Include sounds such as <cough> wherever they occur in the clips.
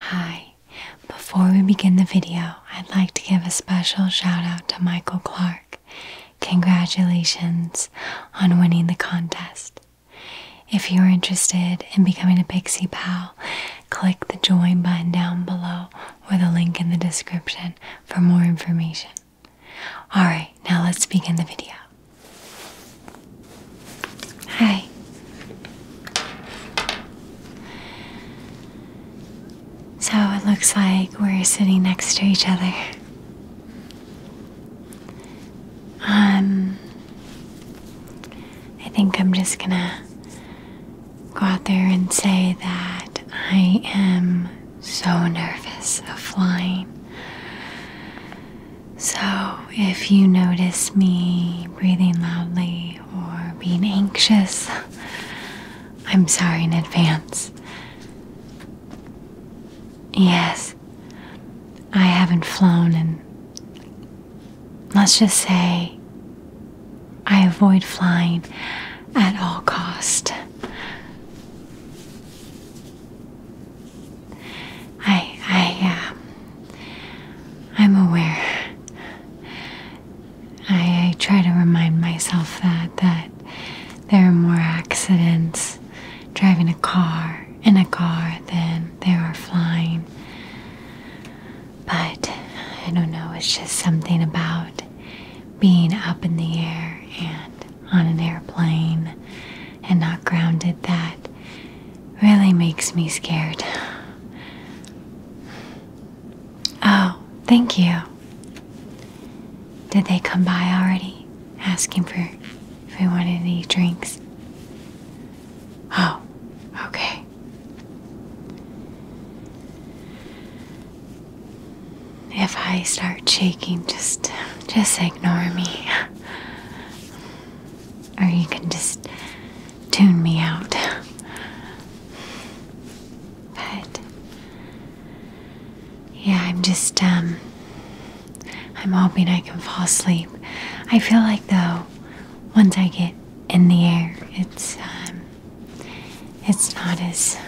Hi, before we begin the video, I'd like to give a special shout out to Michael Clark. Congratulations on winning the contest. If you're interested in becoming a Pixie Pal, click the join button down below or the link in the description for more information. Alright, now let's begin the video. Hi. So it looks like we're sitting next to each other. Um, I think I'm just gonna go out there and say that I am so nervous of flying. So if you notice me breathing loudly, or being anxious. I'm sorry in advance. Yes, I haven't flown, and let's just say I avoid flying at all cost. I I uh, I'm aware. I, try to remind myself that that there are more accidents driving a car in a car than there are flying. But I don't know, it's just something about being up in the air and on an airplane and not grounded that really makes me scared. Oh, thank you. Did they come by already? Asking for if we wanted any drinks. Oh, okay. If I start shaking, just just ignore me. Or you can just tune me out. but yeah, I'm just um I'm hoping I can fall asleep. I feel like though once I get in the air, it's um it's not as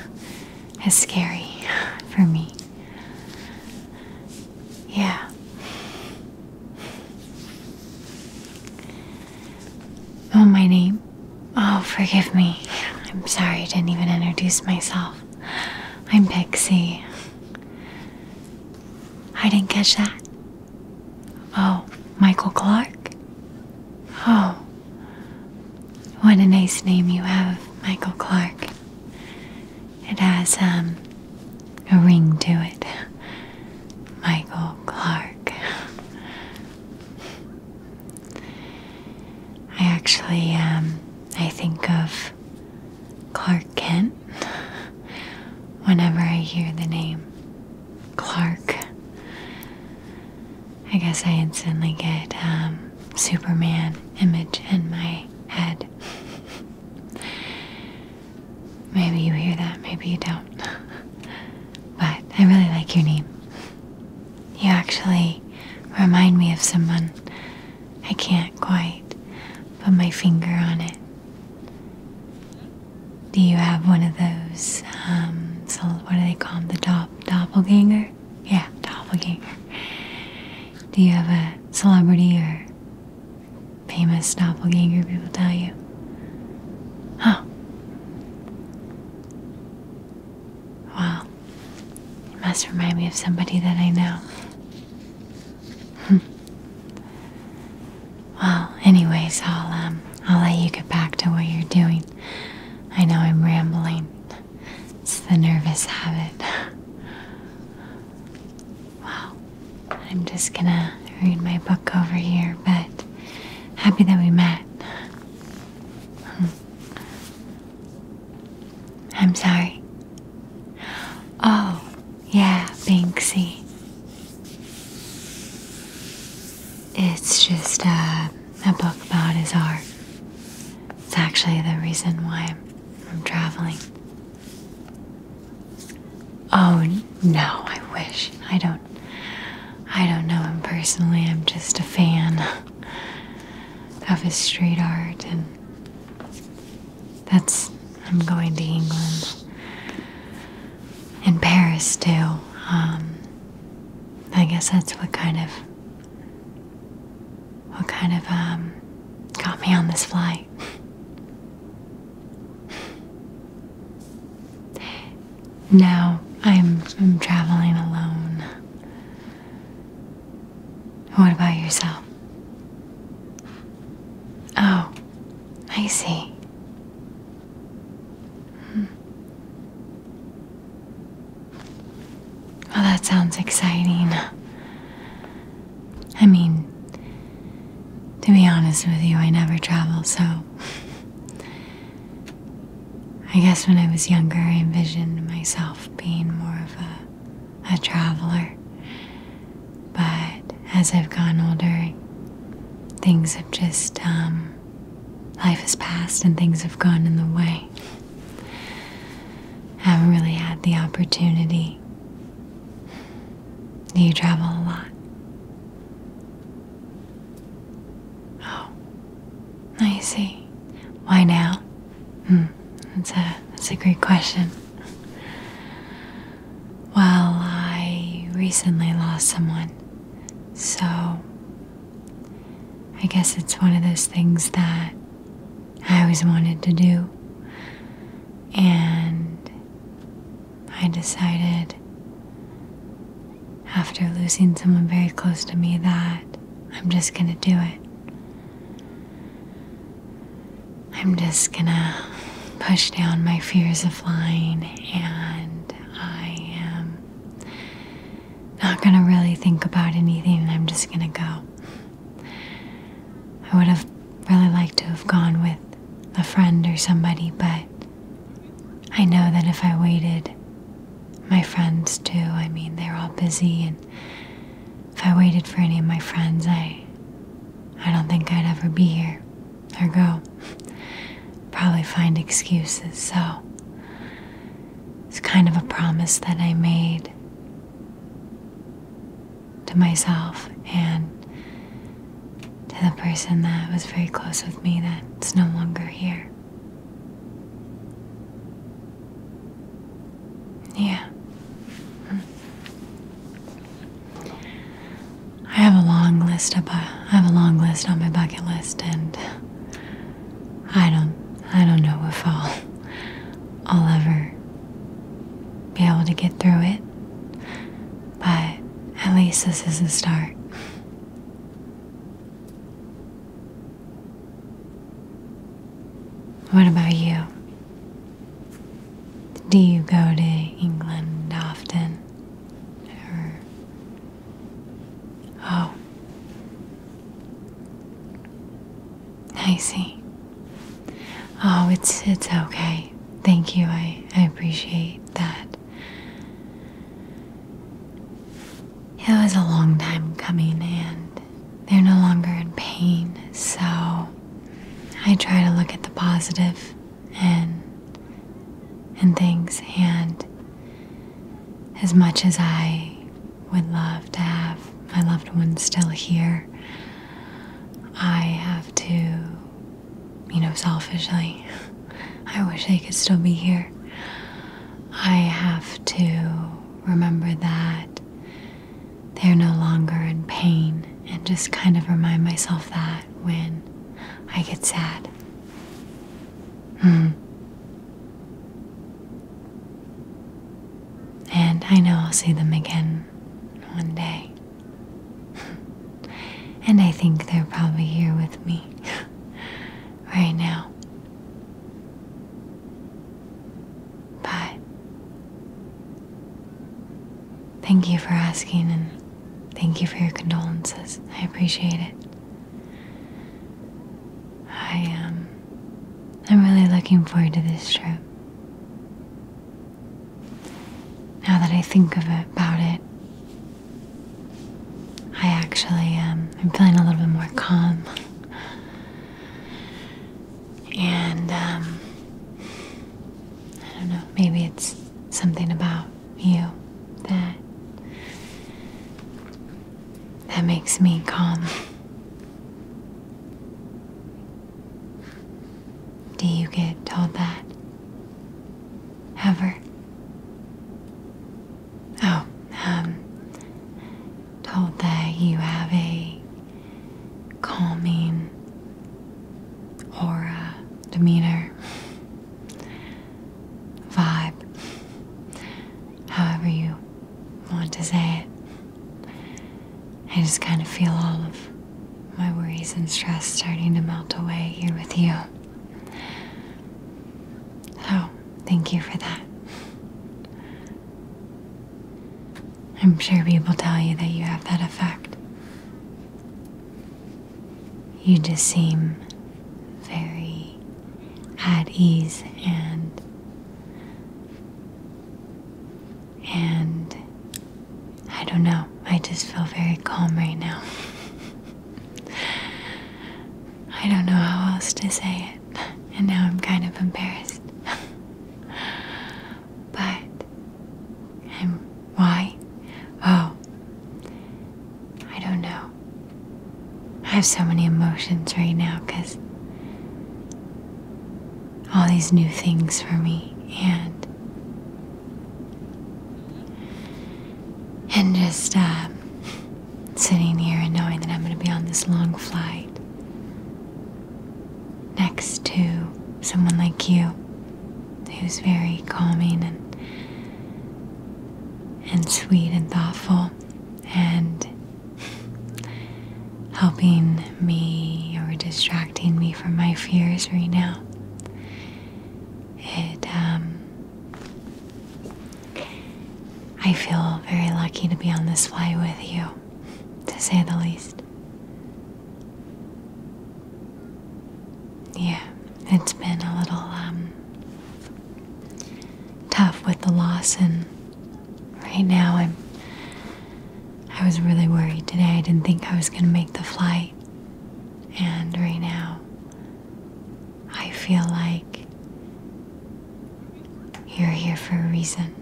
as scary for me. Yeah. Oh, my name. Oh, forgive me. I'm sorry I didn't even introduce myself. I'm Pixie. I didn't catch that. Oh, Michael Clark? Oh. What a nice name you have, Michael Clark. It has, um, a ring to it. Michael Clark. I actually, um, I think of Clark Kent whenever I hear the name Clark. I guess I instantly get um, Superman image in my head. Maybe you hear that, maybe you don't. <laughs> but I really like your name. You actually remind me of someone. I can't quite put my finger on it. Do you have one of those, um, so what do they call them? The dop doppelganger? Yeah, doppelganger. Do you have a celebrity or famous doppelganger people tell you. Oh, Wow. It must remind me of somebody that I know. Hmm. well, anyways, I'll um I'll let you get back to what you're doing. I know I'm rambling. It's the nervous habit. <laughs> Well, I'm just gonna read my book over here, but happy that we met. Hmm. I'm sorry. Oh, yeah, Banksy. It's just uh, a book about his art. It's actually the reason why I'm traveling. Oh no, I wish. I don't I don't know him personally. I'm just a fan of his street art and that's I'm going to England In Paris too. Um, I guess that's what kind of what kind of um got me on this flight. Now I'm, I'm traveling alone. What about yourself? Oh, I see. Hmm. Well, that sounds exciting. I mean, to be honest with you, I never travel, so I guess when I was younger, I envisioned myself being more of a, a traveler. But as I've gotten older, things have just, um, life has passed and things have gone in the way. I haven't really had the opportunity do you travel a lot? Oh, I see. Why now? Hmm, that's a that's a great question. Well, I recently lost someone, so I guess it's one of those things that I always wanted to do, and I decided after losing someone very close to me that I'm just gonna do it. I'm just gonna push down my fears of flying and I am not gonna really think about anything. I'm just gonna go. I would have really like to have gone with a friend or somebody, but I know that if I waited, my friends too, I mean, they're all busy, and if I waited for any of my friends, I, I don't think I'd ever be here or go. Probably find excuses, so it's kind of a promise that I made to myself and to the person that was very close with me that's no longer here. Yeah. I have a long list uh, I have a long list on my bucket list and I don't I don't know if I'll ever be able to get through it. But at least this is a start. What about you? Do you go to England often? Or oh, I see. Oh, it's it's okay. Thank you. I, I appreciate that. It was a long time coming and they're no longer in pain, so I try to look at the positive and and things and as much as I would love to have my loved ones still here, I have to, you know, selfishly, <laughs> I wish they could still be here. I have to remember that they're no longer in pain and just kind of remind myself that when I get sad. Hmm. And I know I'll see them again one day and I think they're probably here with me right now. But thank you for asking and thank you for your condolences. I appreciate it. I am um, I'm really looking forward to this trip. Now that I think about it, I actually am. Um, I'm feeling a little bit more calm, and um, I don't know. Maybe it's something about you that that makes me calm. Do you get told that? Ever? Oh, um, told that you have a calming aura, demeanor, vibe, however you want to say it. I just kind of feel all of my worries and stress starting to melt away here with you. So, thank you for that. I'm sure people tell you that you have that effect. You just seem very at ease and and I don't know, I just feel very calm right now. I don't know how else to say it, and now I'm kind of embarrassed. but why? Oh, I don't know. I have so many emotions right now because all these new things for me and and just uh, sitting here and knowing that I'm going to be on this long flight next to someone like you who's very calming and and sweet and thoughtful and helping me or distracting me from my fears right now. It, um, I feel very lucky to be on this flight with you, to say the least. Yeah, it's been a little, um, tough with the loss, and right now I'm I was really worried today. I didn't think I was going to make the flight. And right now, I feel like you're here for a reason.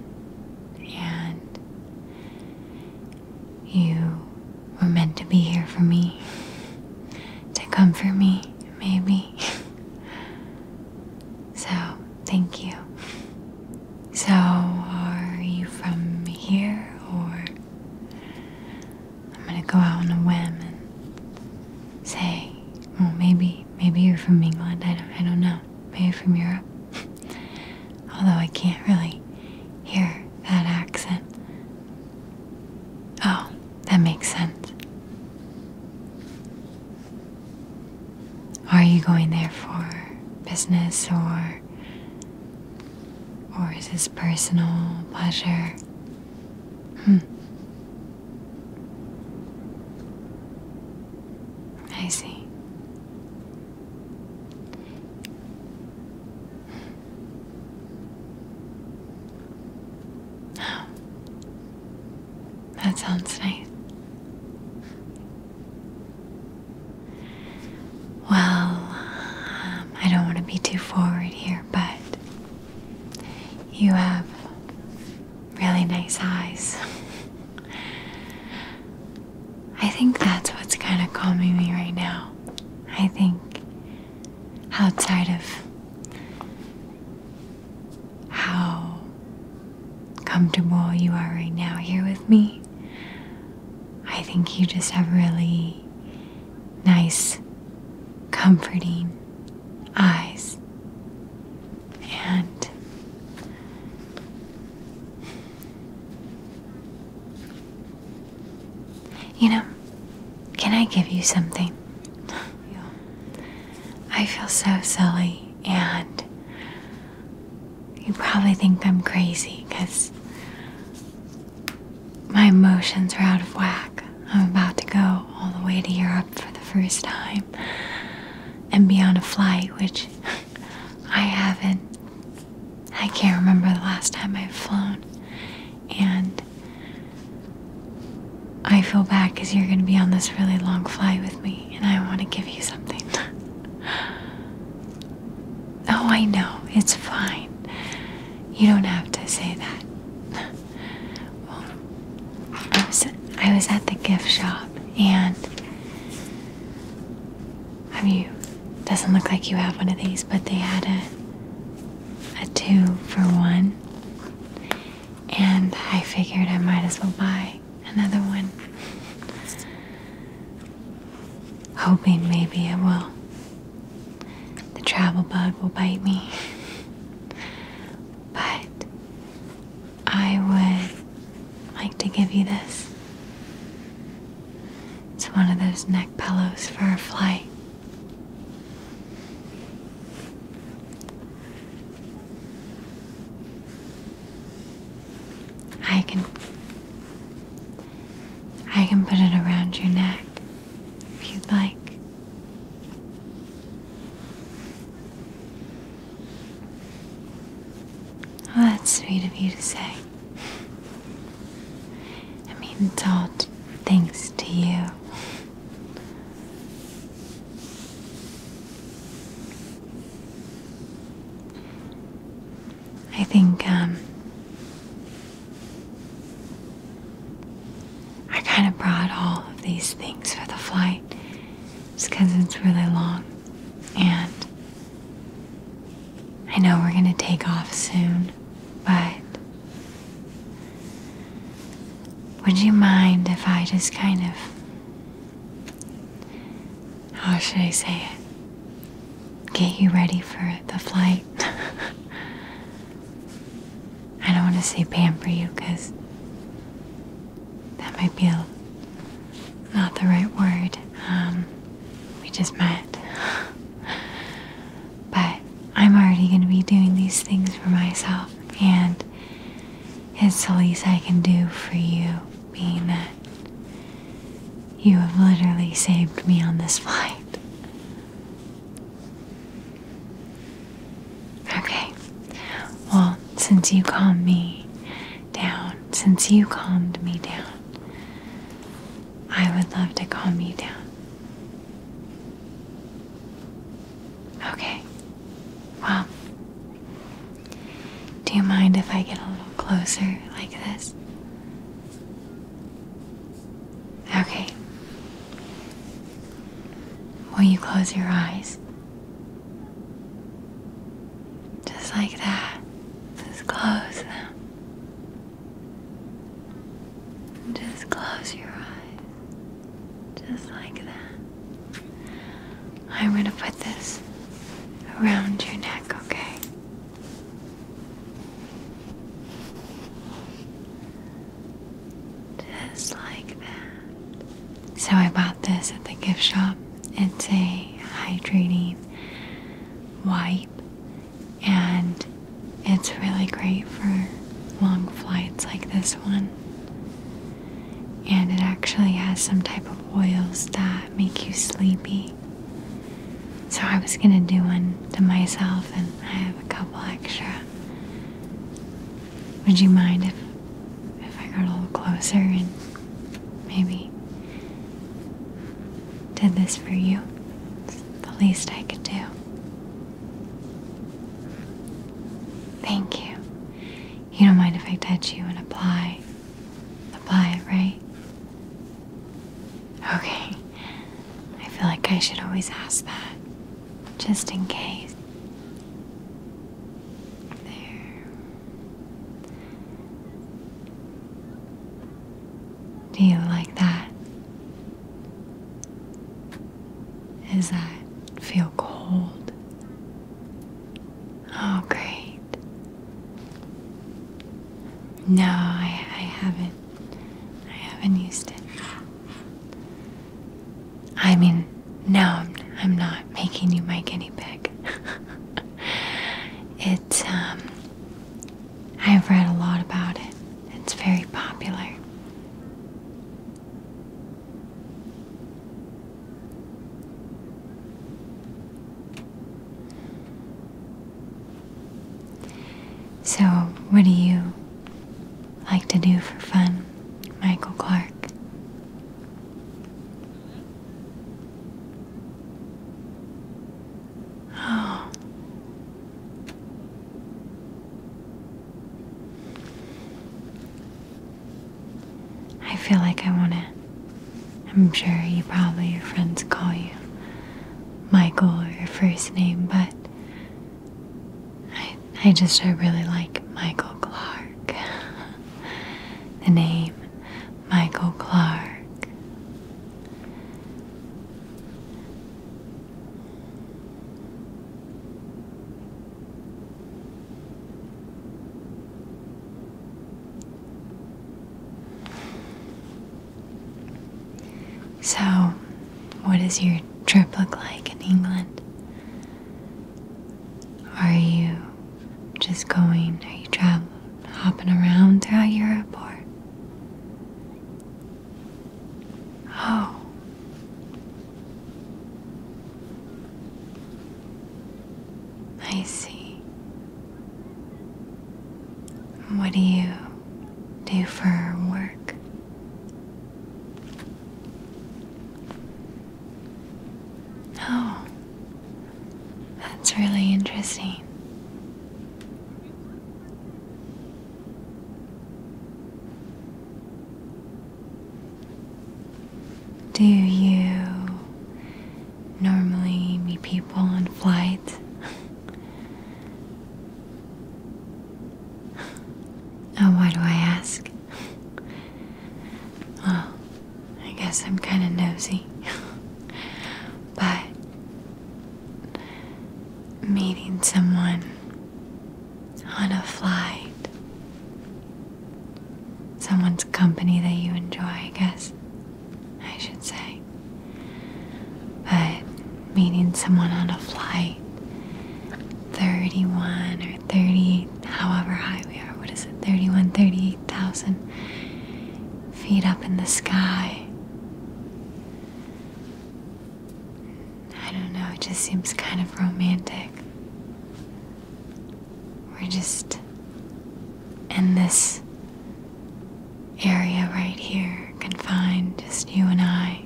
And you were meant to be here for me, to comfort me, maybe. <laughs> so, thank you. So, are you from here or? I'm gonna go out on a whim and say, well, maybe, maybe you're from England. I don't, I don't know. Maybe from Europe. <laughs> Although I can't really hear that accent. Oh, that makes sense. Are you going there for business or or is this personal pleasure? Hmm. I see. Hmm. That sounds nice. Well, um, I don't want to be too forward here, but you have really nice eyes. <laughs> I think that's what's kind of calming me right now. I think outside of how comfortable you are right now here with me. I think you just have really nice, comforting eyes. And you know, can I give you something? I feel so silly and you probably think I'm crazy because my emotions are out of whack. I'm about to go all the way to Europe for the first time and be on a flight, which I haven't. I can't remember the last time I've flown. And I feel bad because you're going to be on this really long flight with me and I want to give you something. <laughs> oh, I know. It's fine. You don't have to say that. I was, at the gift shop and. Have you. Doesn't look like you have one of these, but they had a. a two for one. And I figured I might as well buy another one. Hoping maybe it will. The travel bug will bite me. but I would like to give you this. It's one of those neck pillows for a flight. I can I can put it around your neck if you'd like. that's sweet of you to say. I mean, it's all thanks to you. I think um, I kind of brought all of these things for the flight just because it's really long. And I know we're going to take off soon, but would you mind if I just kind of how should I say it? Get you ready for the flight. <laughs> I don't want to say pamper you because that might be a, not the right word. Um, we just met. <laughs> but I'm already going to be doing these things for myself, and it's the least I can do for you, being that you have literally saved me on this flight. Okay, well, since you calmed me down, since you calmed me down, I would love to calm you down. Okay, well, do you mind if I get a little closer like this? Okay. Will you close your eyes? Just like that. Just close them. Just close your eyes. Just like that. I'm going to put this around your neck, okay? Just like that. So I bought this at the gift shop. It's a hydrating wipe, and it's really great for long flights like this one and it actually has some type of oils that make you sleepy. So I was gonna do one to myself, and I have a couple extra. Would you mind if if I got a little closer and maybe did this for you? It's the least I could do. Thank you. You don't mind if I touch you and apply Apply it, right? Okay. I feel like I should always ask that, just in case. There. Do you like that? Does that feel cold? Oh, great. No, I, haven't. I haven't used it. I mean, no, I'm, not making you my guinea pig. <laughs> it's, um, I've read a lot about it, it's very popular. So, what do you like to do for fun, Michael Clark? Oh. I feel like I want to. I'm sure you probably, your friends call you Michael or your first name, but I, I just, I really like Michael Clark. <laughs> the name Michael Clark. So, what does your trip look like in England? Are you just going, are you traveling, hopping around throughout Europe or? Oh, I see. What do you do for work? Oh, that's really interesting. Do you normally meet people on flight? <laughs> oh, why do I ask? <laughs> well, I guess I'm kind of nosy. <laughs> but meeting someone on a flight Someone's company that you enjoy, I guess I should say. But meeting someone on a flight 31 or thirty, however high we are, what is it, 31, 38,000 feet up in the sky. I don't know, it just seems kind of romantic. We're just in this area right here, confined, just you and I.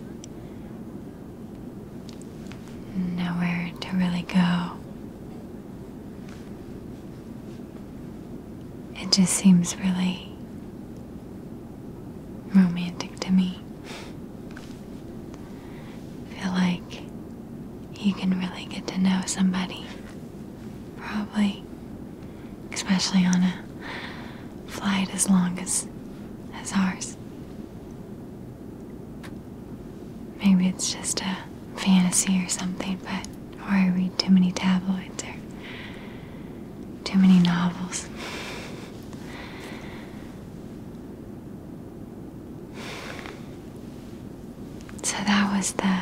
Nowhere to really go. It just seems really romantic to me. <laughs> feel like you can really get to know somebody. Probably. Especially on a flight as long as as ours. Maybe it's just a fantasy or something, but or I read too many tabloids or too many novels. So that was the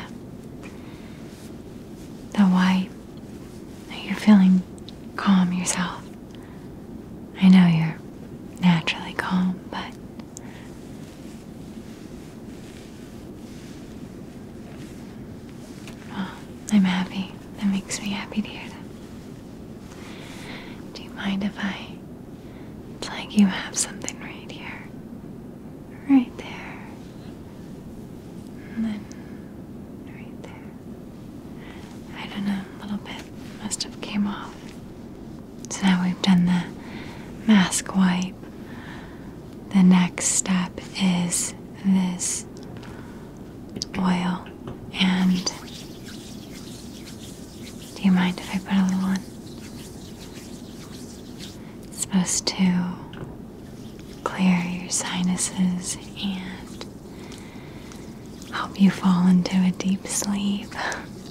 the why you're feeling calm yourself. I know you're naturally calm, but I'm happy. That makes me happy to hear that. Do you mind if I it's like you have something right here, right there, and then right there. I don't know, a little bit must have came off. So now we've done the mask wipe. The next step is this oil and do you mind if I put a little one? It's supposed to clear your sinuses and help you fall into a deep sleep.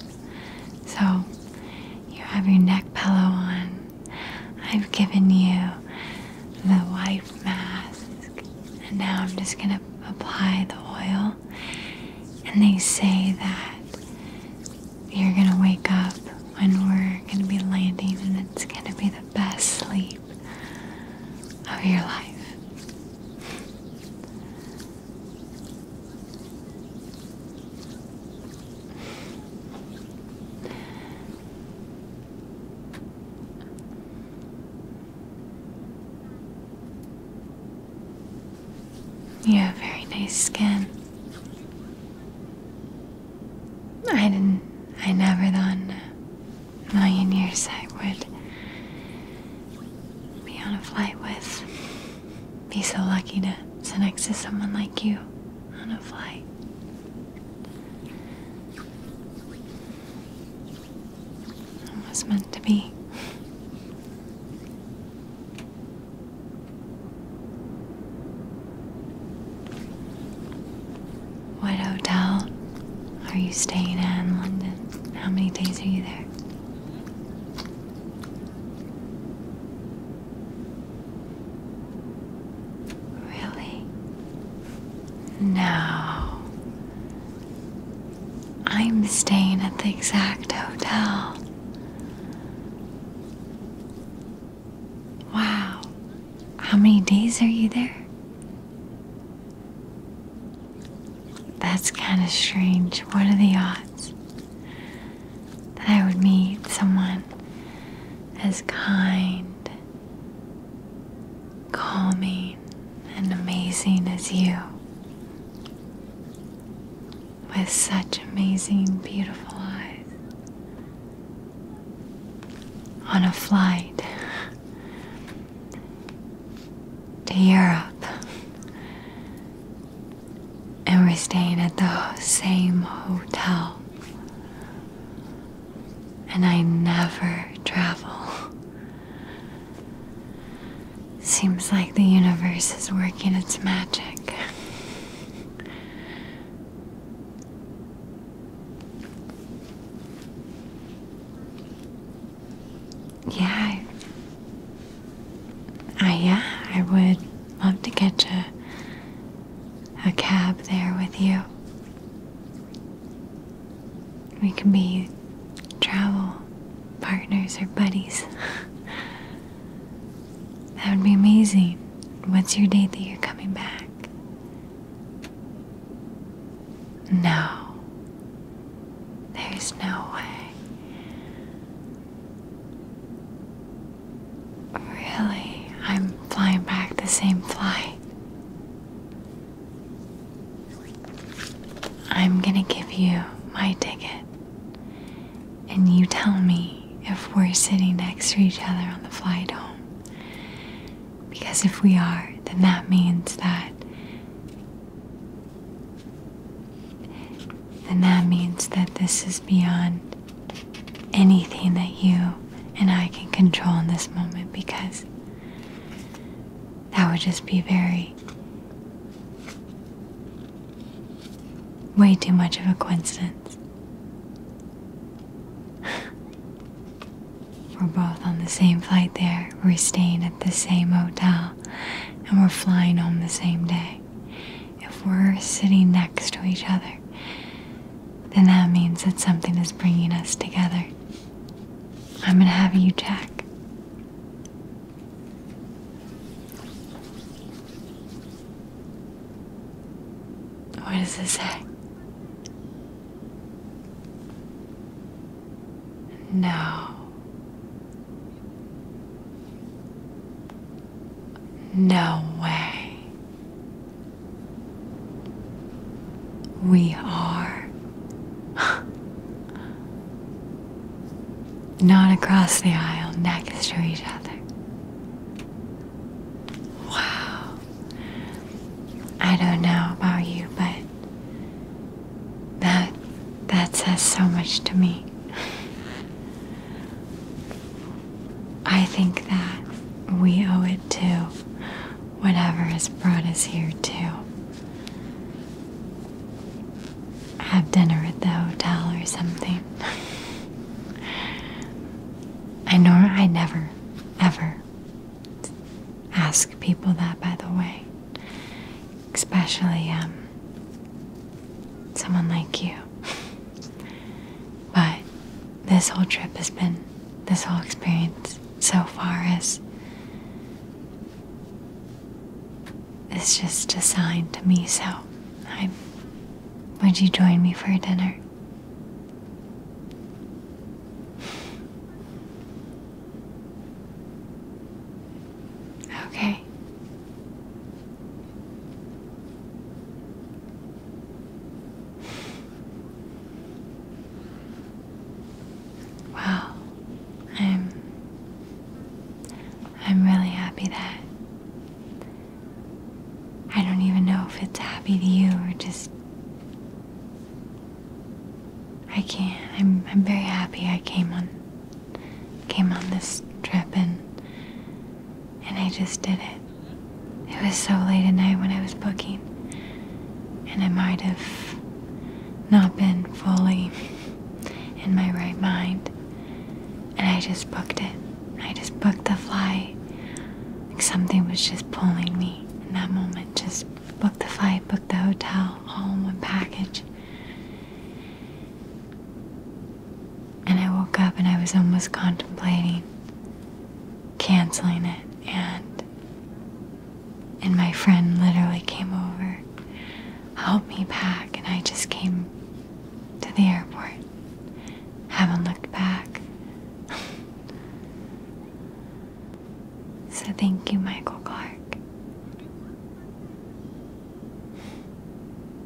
<laughs> so, you have your neck pillow on. I've given you the white mask, and now I'm just gonna apply the oil. And they say that you're gonna wake up when we're gonna be landing, and it's gonna be the best sleep of your life. You have very nice skin. I didn't, I never thought in a million years I would be on a flight with, be so lucky to sit next to someone like you on a flight. It was meant to be. What hotel are you staying at in London? How many days are you there? Really? No. I'm staying at the exact hotel. Wow. How many days are you there? That's kind of strange. What are the odds that I would meet someone as kind, calming, and amazing as you? with such amazing, beautiful eyes on a flight to Europe. And we're staying at the same hotel. And I never travel Seems like the universe is working its magic. Yeah, I, yeah, I would love to get a, a cab there with you. We can be travel partners or buddies. that would be amazing. What's your date that you're coming back? No. There's no way. Really? I'm flying back the same flight. I'm gonna give you my ticket, and you tell me if we're sitting next to each other on the flight home. Because if we are, then that means that. Then that means that this is beyond anything that you and I can control in this moment because that would just be very. way too much of a coincidence. <laughs> we're both on the same flight there, we're staying at the same hotel, and we're flying home the same day. If we're sitting next to each other, then that means that something is bringing us together. I'm gonna have you check what does it say? No. No way. We are <laughs> Not across the aisle, next to each other. Wow. I don't know about you, but that that says so much to me. <laughs> I think that we owe it to whatever has brought us here too have dinner at the hotel or something. I know I never, ever ask people that, by the way. Especially um, someone like you. but this whole trip has been, this whole experience so far is. It's just a sign to me, so i Would you join me for dinner? Okay. Well, I'm I'm really happy that I don't even know if it's happy to you or just I can't I'm I'm very happy I came on came on this trip and and I just did it. It was so late at night when I was booking and I might have not been fully in my right mind. And I just booked it. I just booked the flight. Like something was just pulling me in that moment. Just booked the flight, booked the hotel, all in one package. And I woke up and I was almost contemplating canceling it and and my friend literally came over, helped me pack, and I just came to the airport. Haven't looked back. so thank you, Michael Clark.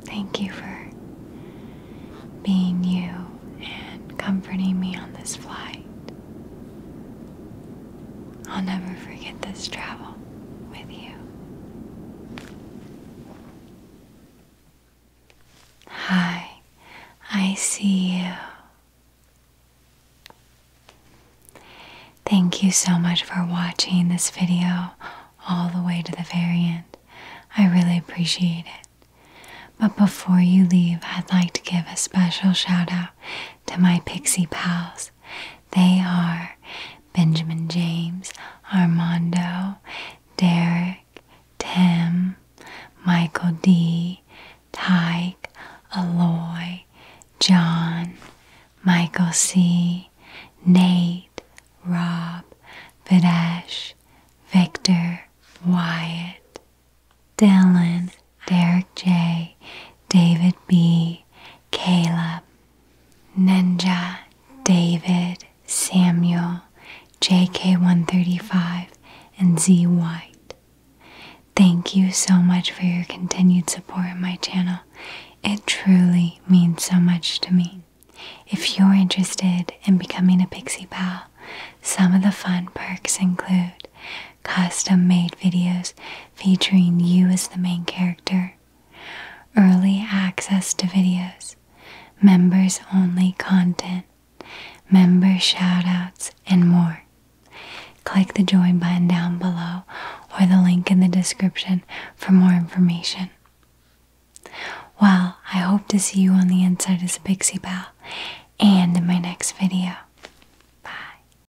Thank you for being you and comforting me on this flight. I'll never forget this travel with you. Hi, I see you. Thank you so much for watching this video all the way to the very end. I really appreciate it. But before you leave, I'd like to give a special shout out to my pixie pals. They are Benjamin James, Armando, Derek, Tim, Michael D, Tyke, Aloy, John, Michael C, Nate, Rob, Videsh, Victor, Wyatt, Dylan, Derek J, David B, Caleb, Ninja, David, Samuel, JK135, and Z White. Thank you so much for your continued support of my channel. It truly means so much to me. If you're interested in becoming a Pixie Pal, some of the fun perks include custom made videos featuring you as the main character, early access to videos, members only content, member shout-outs, and more. Click the join button down below or the link in the description for more information. Well, I hope to see you on the inside as a Pixie Pal and in my next video. Bye.